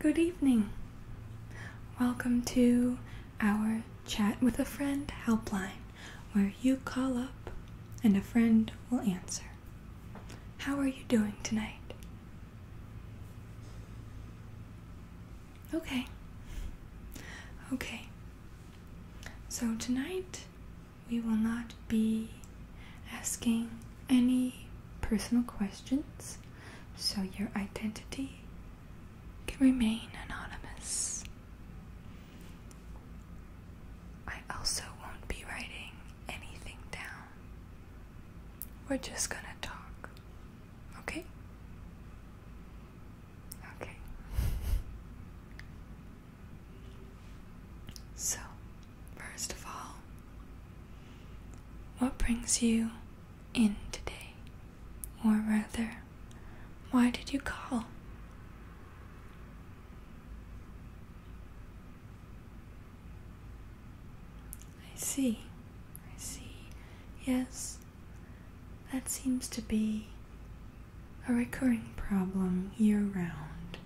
Good evening. Welcome to our Chat with a Friend helpline, where you call up and a friend will answer. How are you doing tonight? Okay. Okay. So tonight we will not be asking any personal questions so your identity can remain anonymous. I also won't be writing anything down. We're just gonna talk. Okay? Okay. so, First of all, what brings you in today? Or rather, why did you call? I see, I see. Yes, that seems to be a recurring problem year round.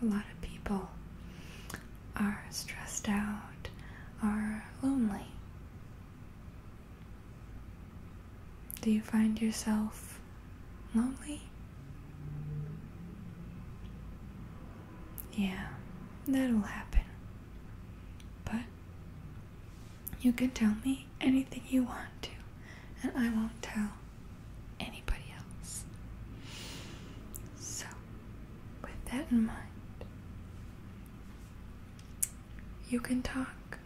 A lot of people are stressed out, are lonely? Do you find yourself lonely? Yeah, that'll happen. But you can tell me anything you want to, and I won't tell anybody else. So, with that in mind, you can talk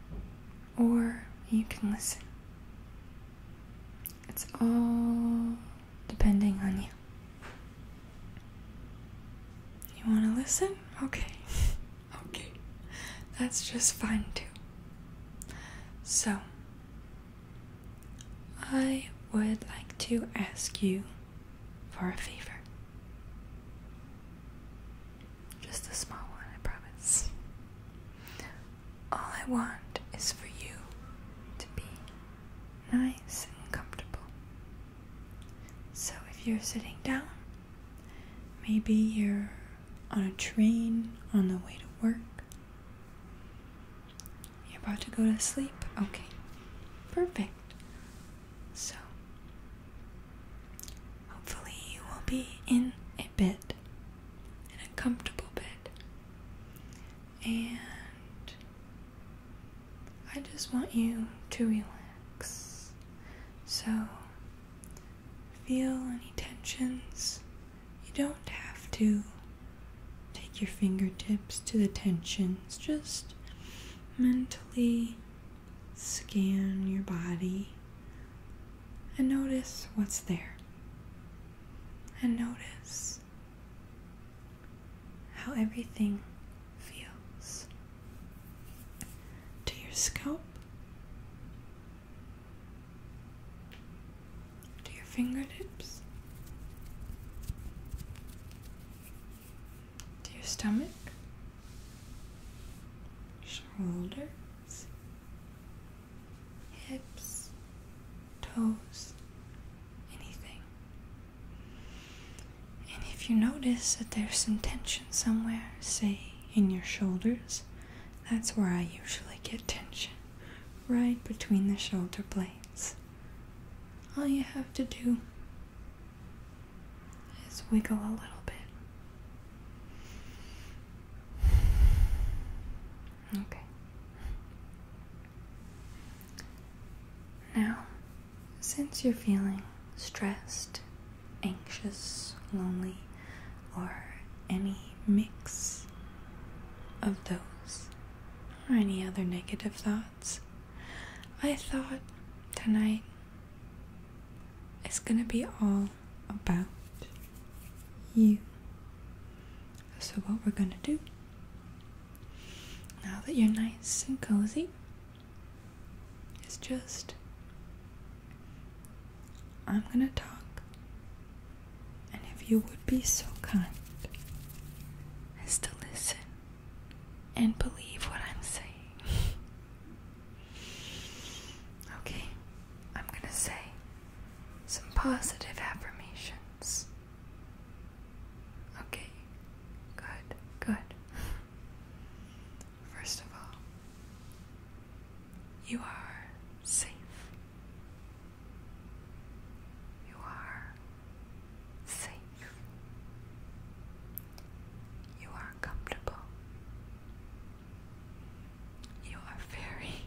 or you can listen. It's all depending on you. You want to listen? Okay. okay. That's just fine too. So, I would like to ask you for a favor. Just a small one, I promise. All I want is for you to be nice and comfortable. So if you're sitting down, maybe you're on a train on the way to work, you're about to go to sleep? Okay. Perfect. So, hopefully, you will be in a bed, in a comfortable bed. And I just want you to relax. So, feel any tensions you don't have to take your fingertips to the tensions, just mentally scan your body and notice what's there. And notice how everything feels to your scalp, to your fingertips, to your stomach, shoulders, hips, toes, anything. And if you notice that there's some tension somewhere, say in your shoulders, that's where I usually get tension right between the shoulder blades. All you have to do is wiggle a little bit. Okay. Now, since you're feeling stressed, anxious, lonely, or any mix of those or any other negative thoughts. I thought tonight is going to be all about you. So, what we're going to do now that you're nice and cozy is just I'm gonna talk, and if you would be so kind as to listen and believe what I'm saying. okay, I'm gonna say some positive affirmations. Okay, good, good. First of all, you are safe. You are safe. You are comfortable. You are very,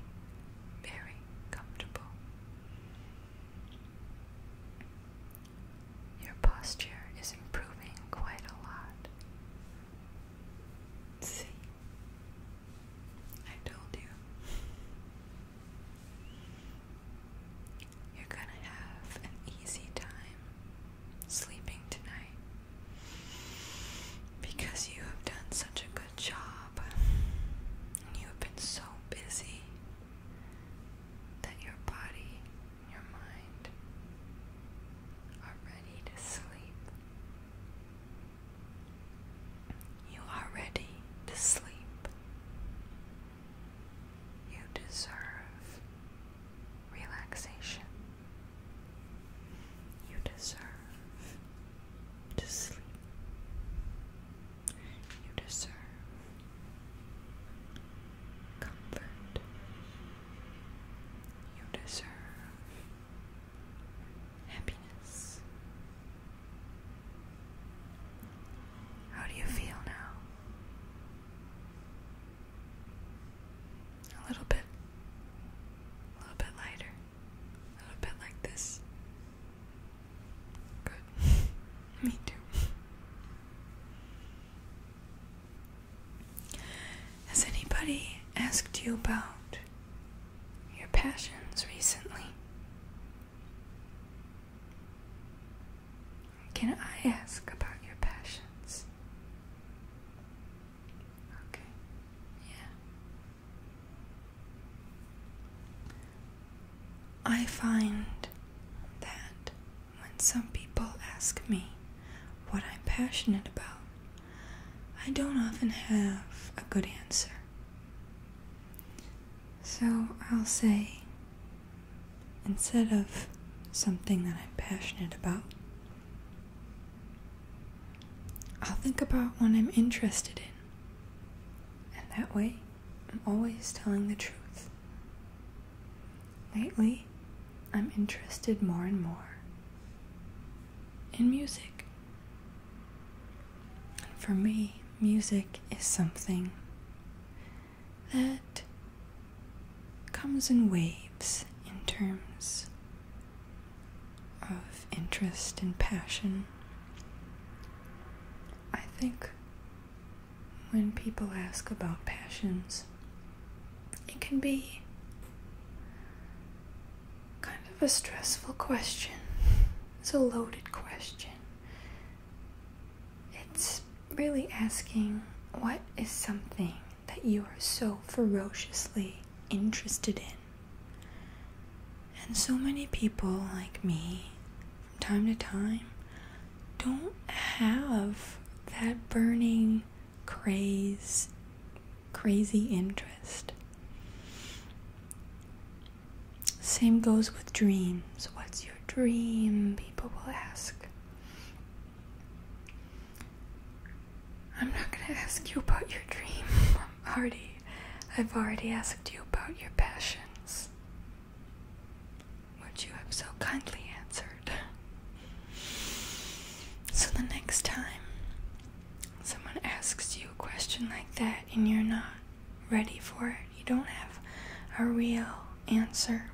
very comfortable. Your posture is improving quite a lot. See, I told you. You're gonna have an easy time sleeping tonight because you have done such a good job and you have been so busy that your body and your mind are ready to sleep. You are ready to sleep. You deserve relaxation. You deserve to sleep. You deserve comfort. You deserve happiness. How do you feel now? A little bit, a little bit lighter, a little bit like this. Good. Me too. Has anybody asked you about your passions recently? Can I ask about your passions? Okay, yeah. I find that when some people ask me what I'm passionate about, I don't often have a good answer. So I'll say, instead of something that I'm passionate about, I'll think about one I'm interested in. And that way, I'm always telling the truth. Lately, I'm interested more and more in music. For me, music is something that comes in waves in terms of interest and passion. I think when people ask about passions, it can be kind of a stressful question. It's a loaded question. It's really asking what is something that you are so ferociously interested in? And so many people like me, from time to time, don't have that burning craze, crazy interest. Same goes with dreams. What's your dream? People will ask. I'm not gonna ask you about your dream. i I've already asked you about your passions, which you have so kindly answered. So the next time someone asks you a question like that and you're not ready for it, you don't have a real answer,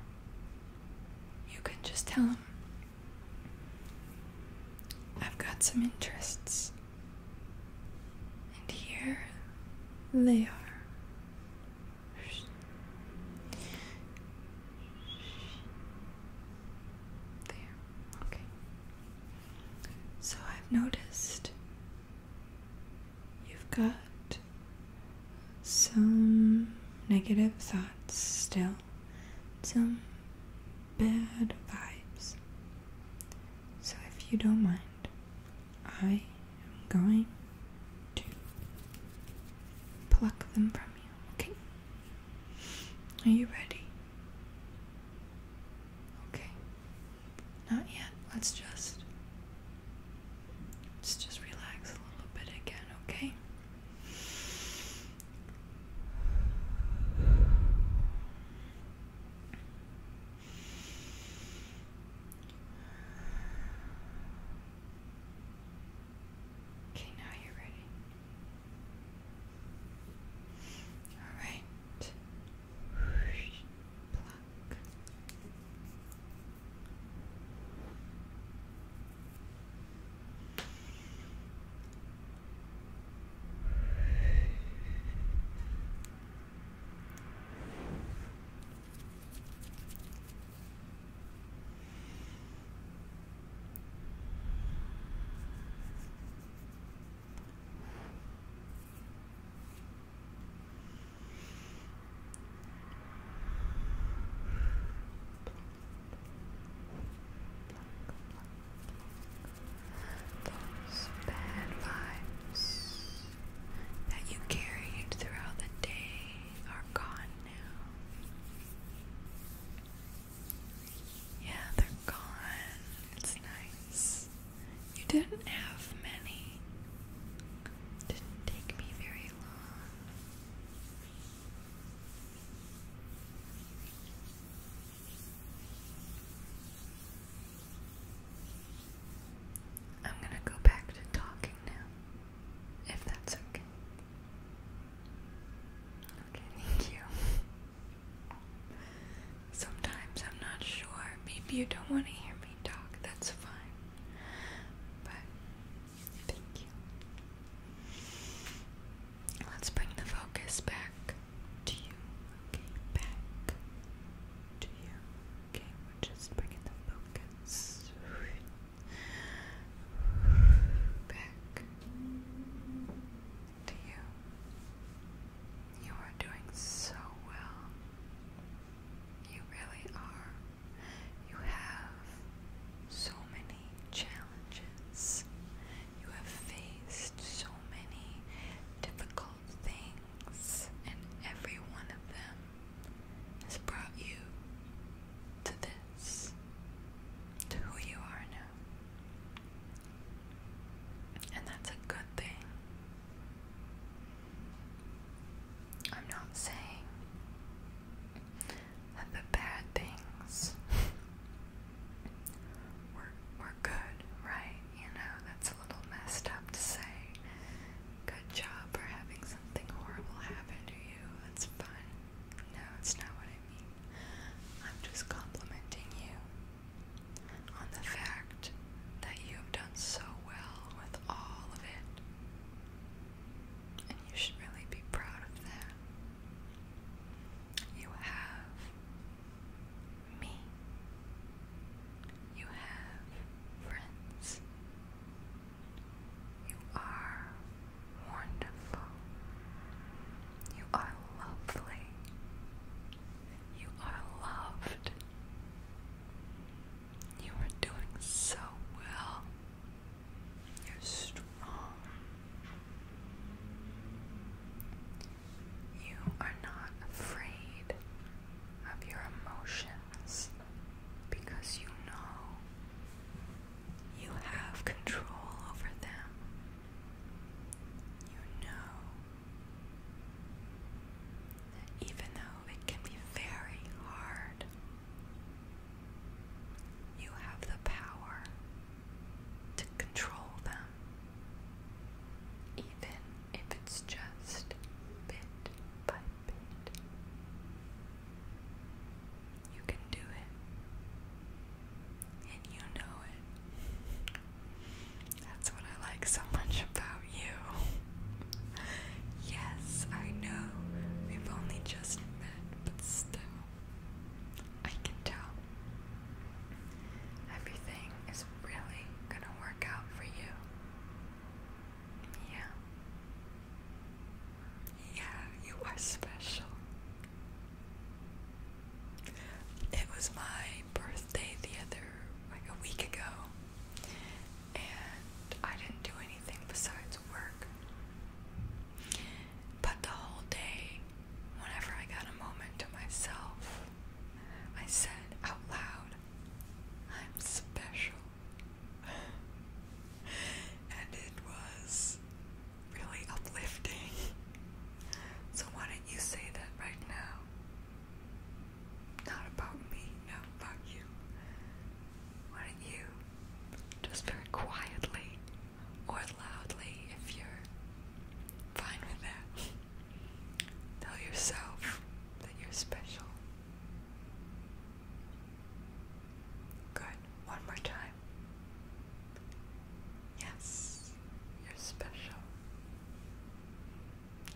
you can just tell them, I've got some interests, and here they are. There. Okay. So I've noticed you've got some negative thoughts still, some bad vibes. So if you don't mind, I am going to pluck them from you. Okay. Are you ready? Okay. Not yet. Let's just let's just relax a little bit again, okay? Okay, now you're ready. Alright. Those bad vibes that you carried throughout the day are gone now. Yeah, they're gone. It's nice. You didn't have many. Didn't take me very long. I'm going to go back to talking now if that's okay. Okay, thank you. Sometimes I'm not sure. Maybe you don't want to hear me talk. That's fine. But thank you. Let's bring the focus back to you. Okay, back to you. Okay, we're just bringing the focus back to you. You are doing so well. You really are. You have so many challenges. You have faced so many difficult things, and every one of them has brought you to this, to who you are now. And that's a good thing. I'm not saying that the bad things were, were good, right? You know, that's a little messed up to say good job for having something horrible happen to you. That's fun. No, it's not what I mean. I'm just complimenting you on the fact that you have done so well with all of it. And you should really be proud of that. You have me. You have friends. You are wonderful. You are lovely. You are loved. You are doing so well. You're strong. You are not afraid of your emotions because you know you have control over them. You know that even though it can be very hard, you have the power to control them even if it's just bit by bit. You can do it, and you know it. That's what I like so much about you. yes, I know we've only just met, but still, I can tell. Everything is really gonna work out for you. Yeah. Yeah, you are special. It was my birthday the other, like a week ago, and I didn't do anything besides work. But the whole day, whenever I got a moment to myself, I said out loud, I'm special. and it was really uplifting. so, why don't you say that right now? Not about me, not about you. Why don't you just very quietly or loudly if you're fine with that. Tell yourself that you're special. Good. One more time. Yes, you're special.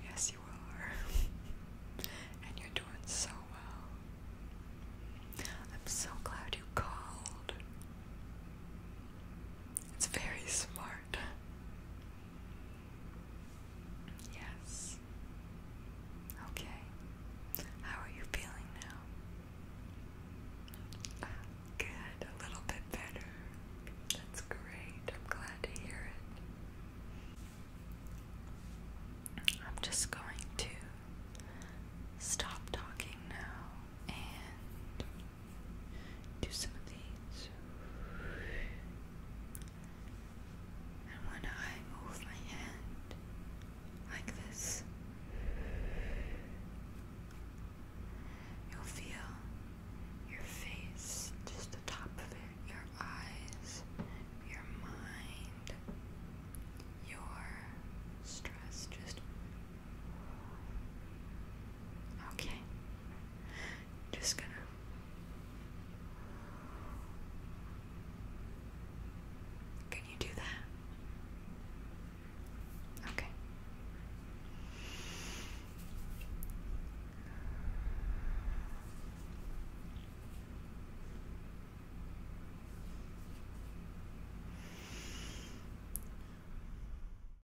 Yes, you are. and you're doing so well. I'm so glad you called. It's very smart. Yes. Okay. How are you feeling now? good. A little bit better. That's great. I'm glad to hear it. I'm just going to stop talking now and do some of these. And when I move my hand like this, you'll feel your face, just the top of it, your eyes, your mind, your stress just Okay. Just gonna Can you do that? Okay.